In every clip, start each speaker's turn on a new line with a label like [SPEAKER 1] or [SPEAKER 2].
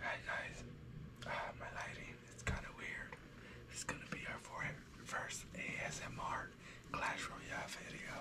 [SPEAKER 1] Hi guys, ah, my lighting is kind of weird. It's gonna be our first ASMR Clash Royale video.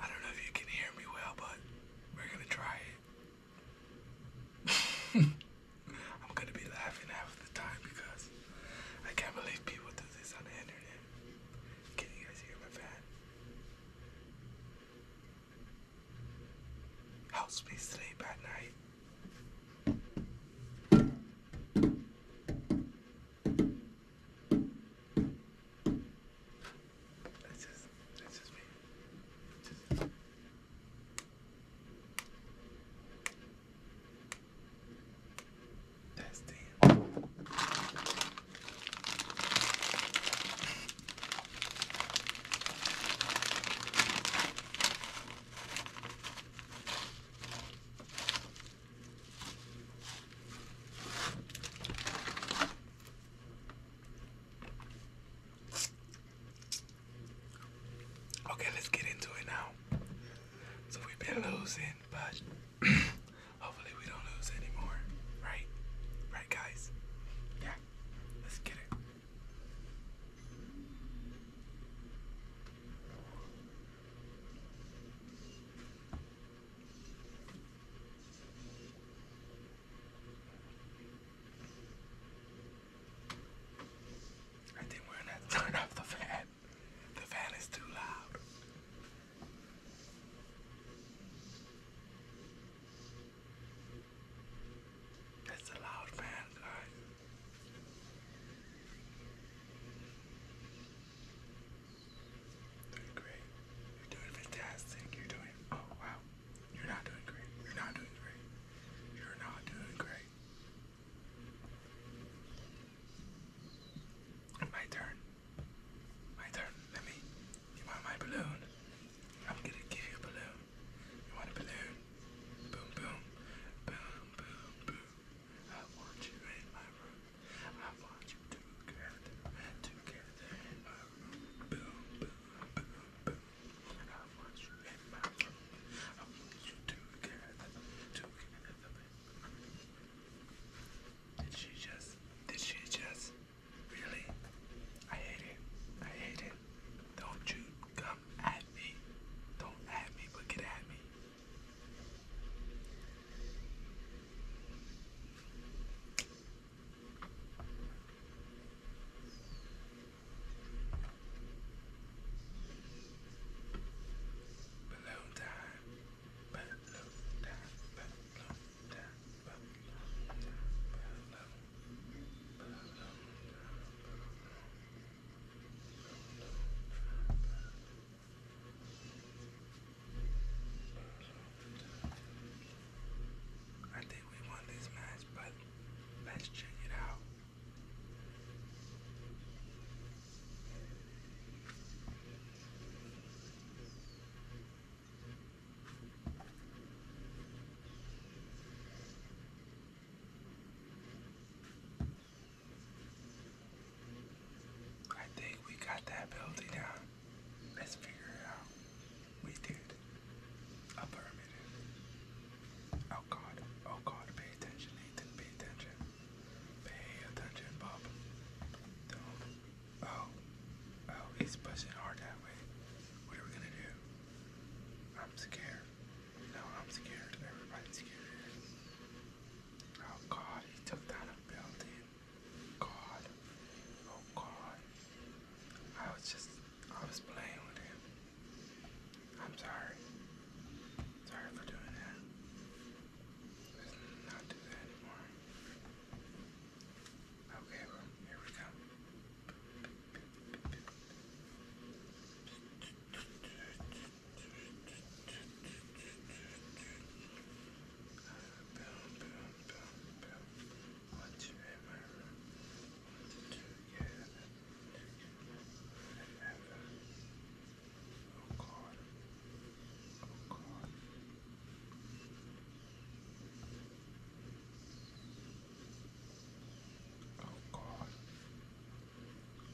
[SPEAKER 1] I don't know if you can hear me well, but we're gonna try it. I'm gonna be laughing half the time because I can't believe people do this on the internet. Can you guys hear my fan? helps me sleep at night. That's just, that's just me. That's the Okay, let's get into it now. So we've been losing, but Hopefully we don't lose anymore. Right? Right guys? Yeah. Let's get it. I think we're gonna turn off the fan. The fan is too loud. That's a loud man, guys. Doing great. You're doing fantastic. You're doing oh wow. You're not doing great. You're not doing great. You're not doing great. My turn. My turn. Let me. You want my balloon? I'm gonna give you a balloon. You want a balloon? Boom, boom. Boom, boom, boom. I want you in my room. I want you together. Together in my room. Boom, boom, boom, boom. I want you in my room. I want you together. Together in my room. Did she just, did she just, really? I hate it. I hate it. Don't you come at me. Don't at me, but get at me. Balloon time. I think we won this match, but let's check it out. I think we got that building down. Let's figure it out. We did. A permit. Oh God. Oh God. Pay attention, Nathan. Pay attention. Pay attention, Bob. Oh. Oh, he's pushing hard that way. What are we gonna do? I'm scared. No, I'm scared. Everybody's scared. Oh god, he took down a God. Oh god. I was just I was playing with him. I'm sorry. Sorry for doing that. Let's not do that anymore. Okay, well, here we go. Boom, boom, boom, boom. One, two, in my room. One, two, yeah. Whatever. Oh God. Oh God. Oh God.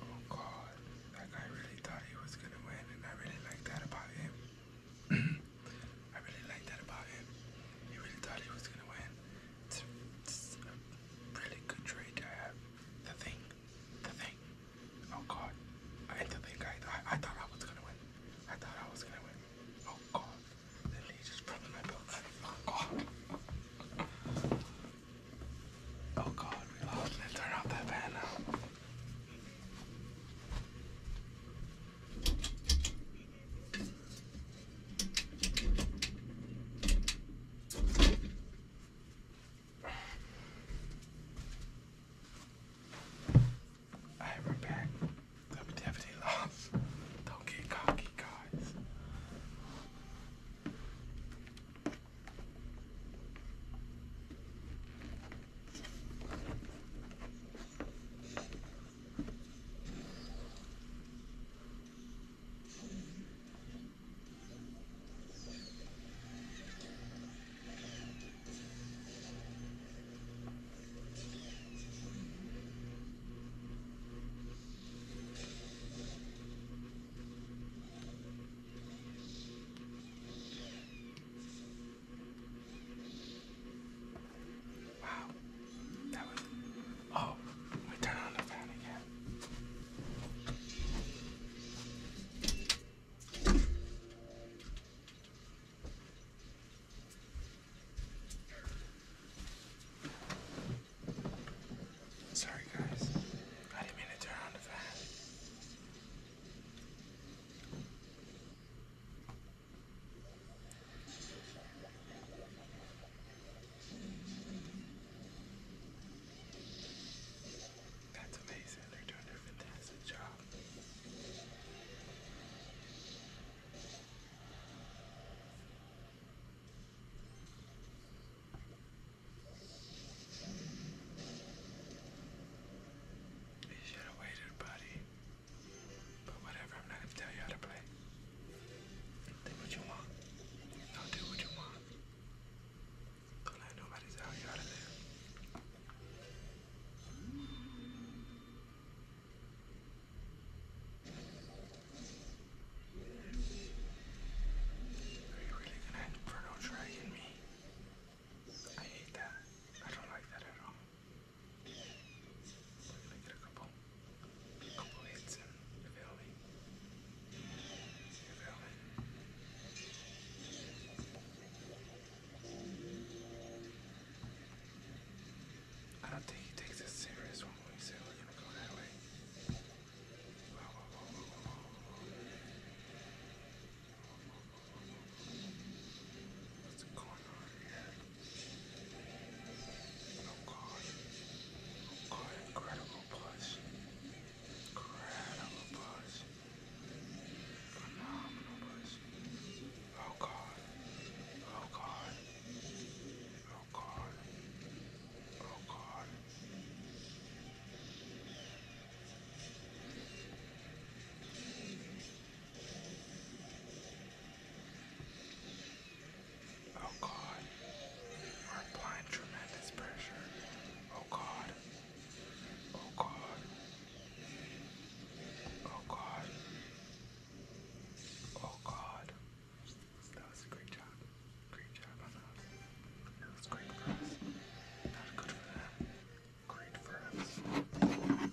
[SPEAKER 1] Oh God. That guy really thought he was gonna win and I really like that about him. I really like that about him. He really thought he was gonna win. It's, a really good trade to have. The thing the thing. Oh god. I the thing I, I I thought I was gonna win. I thought I was gonna win. Oh god. The lady just broke my belt. Oh god. Oh god, Let's turn off that fan now. Alright, we're back. i Don't get cocky, guys. Wow, that was. Oh, we turn on the fan again. Sorry, guys. I didn't mean to turn on the fan. That's amazing. They're doing a fantastic job. You should have waited, buddy. But whatever, I'm not gonna tell you how to play. Think what you want. Now do what you want. Don't let nobody tell you out of there. Are you really gonna Inferno Dragon me? I hate that. I don't like that at all. We're get a couple. I don't think he takes this serious when we say we're gonna go that way. What's going on Oh god. Oh god, incredible buzz. Incredible buzz. Phenomenal buzz. Oh god. Oh god. Oh god. Oh god. Oh Oh God, we're applying tremendous pressure. Oh God, oh God, oh God, oh God. That was a great job. Great job That was great for us. Not good for them. Great for us.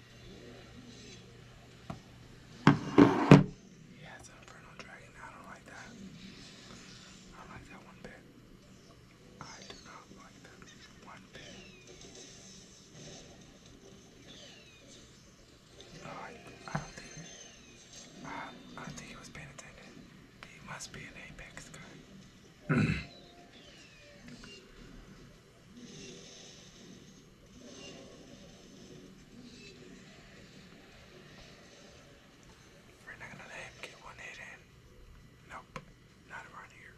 [SPEAKER 1] Yeah, it's an Inferno Dragon. I don't like that. I like that one bit. I do not like that one bit. Oh, I, don't think. I think he was paying attention. He must be an Apex guy. We're not gonna let him get one hit in. Nope, not around here.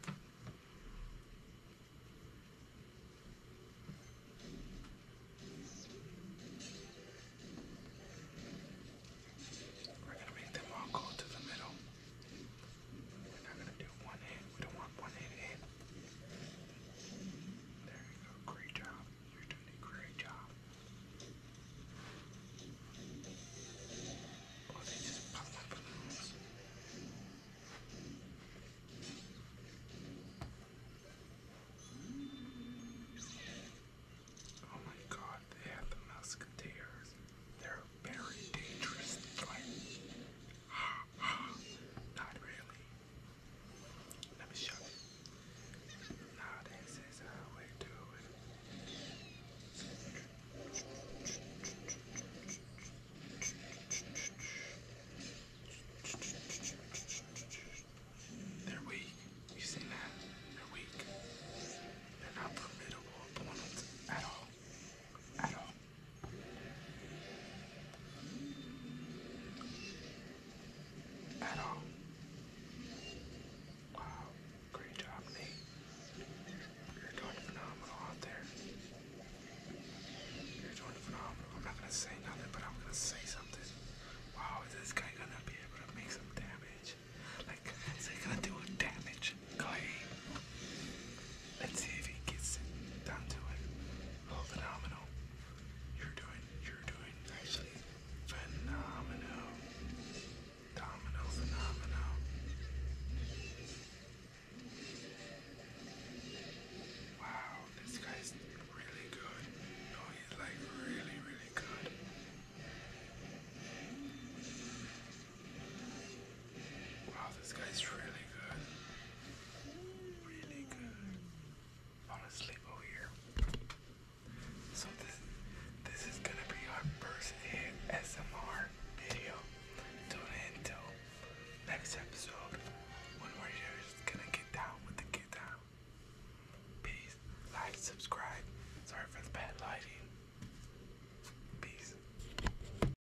[SPEAKER 1] We're gonna make them all go to the middle. We're not gonna do one hit. We don't want 188. There you go. Great job. You're doing a great job. Oh, they oh my god, they have the musketeers. They're very dangerous. Like, ha ha. Not really. Let me show you. Now this is how we do it. They're weak. You see that? They're weak. They're not formidable opponents at all. At all. At all. Wow, great job, Nate. You're doing phenomenal out there. You're doing phenomenal. I'm not gonna say nothing, but I'm gonna say something. Wow, is this guy gonna be able to make some damage? Like, is he gonna do damage? guy? Let's see if he gets it down to it. Oh, phenomenal. You're doing, you're doing actually phenomenal. Domino, phenomenal. Wow, this guy's really good. No, oh, he's like really, really good. Wow, this guy's really good. Really good. I want over here. So this this is gonna be our first ASMR video. Tune in till next episode when we're just gonna get down with the get Peace. Like, subscribe. Sorry for the bad lighting. Peace.